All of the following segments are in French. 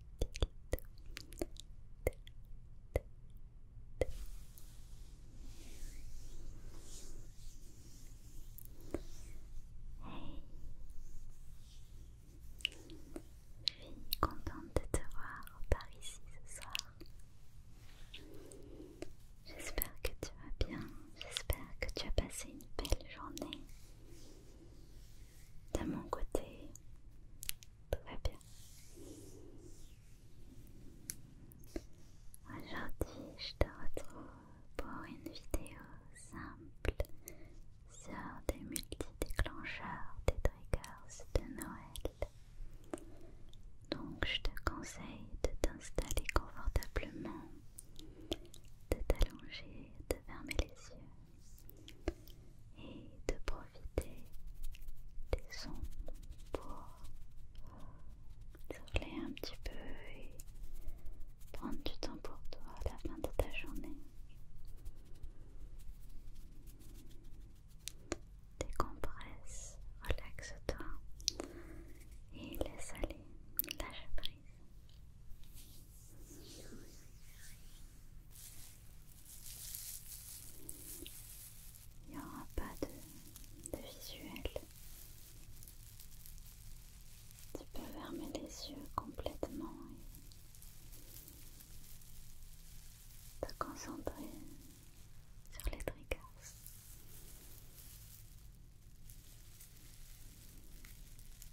Je suis contente de te voir par ici ce soir. J'espère que tu vas bien, j'espère que tu as passé une belle journée de mon côté, tout va bien. Aujourd'hui, je te retrouve pour une vidéo simple sur des multi-déclencheurs des triggers de Noël. Donc, je te conseille de t'installer confortablement, de t'allonger, de fermer les yeux et de profiter des sons pour souffler un petit peu et prendre du temps pour toi à la fin de ta journée. Décompresse, relaxe-toi et laisse aller, lâche prise. Il n'y aura pas de, visuel. Tu peux fermer les yeux complètement et te concentrer sur les triggers.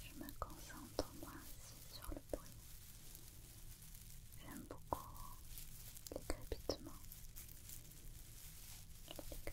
Je me concentre moi aussi sur le bruit. J'aime beaucoup les crépitements. Les Les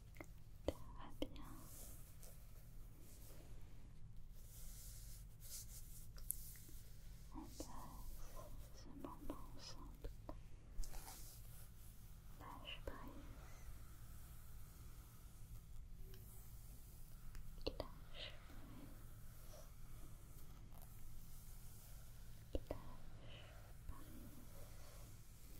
Ça va bien. On passe ce moment ensemble. Lâche prise. Lâche prise. Lâche prise.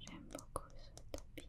J'aime beaucoup ce tapis.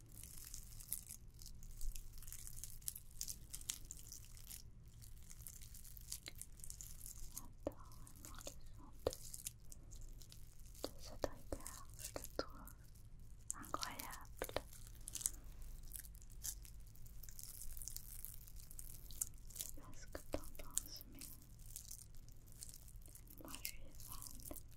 de cet regard, je le trouve incroyable. Je sais pas ce que t'en penses, mais moi je suis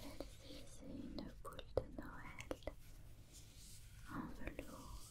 Celle-ci, c'est une boule de Noël en velours.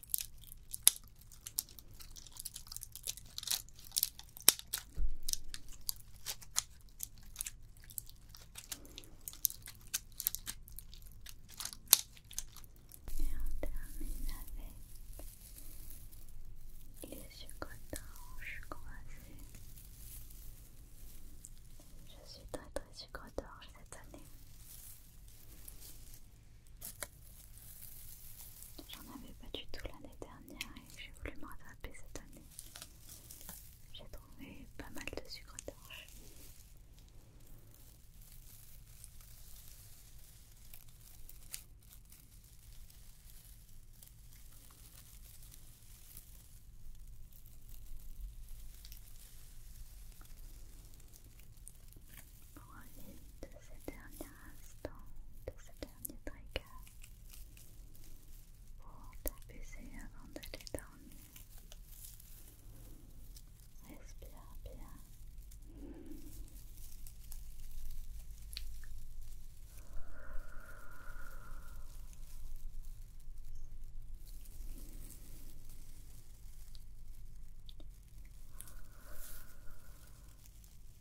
Et on termine avec les sucres-torches croisés. Je suis très très sucre-torche cette année. J'en avais pas du tout l'année dernière et j'ai voulu me rattraper cette année. J'ai trouvé pas mal de sucre torche. Profite de ce dernier instant, de ce dernier tricot pour t'apaiser avant d'aller dormir. Respire bien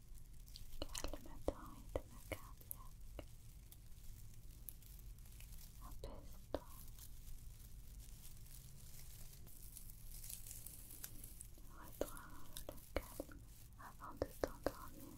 calme ton rythme cardiaque, apaise-toi. Retrouve le calme avant de t'endormir.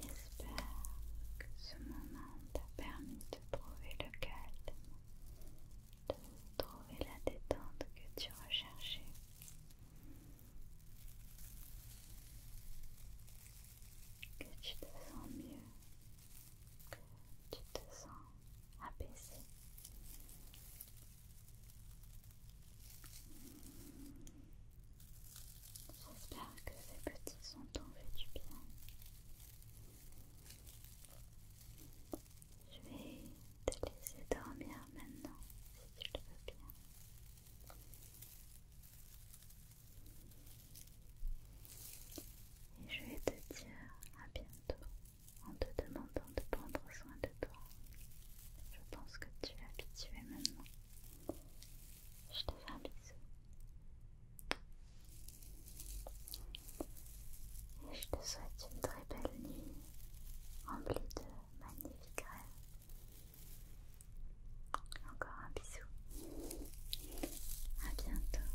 J'espère que ce moment t'a permis de trouver le calme, de trouver la détente que tu recherchais. Que tu te sens mieux, que tu te sens apaisé, J'espère que les petits sont en fait du bien. Je vais te laisser dormir maintenant si tu veux bien. Et je vais te dire à bientôt en te demandant de prendre soin de toi. Je pense que tu es habitué maintenant. Je te fais un bisou. Et je te souhaite une très belle nuit, remplie de magnifiques rêves. Encore un bisou. À bientôt.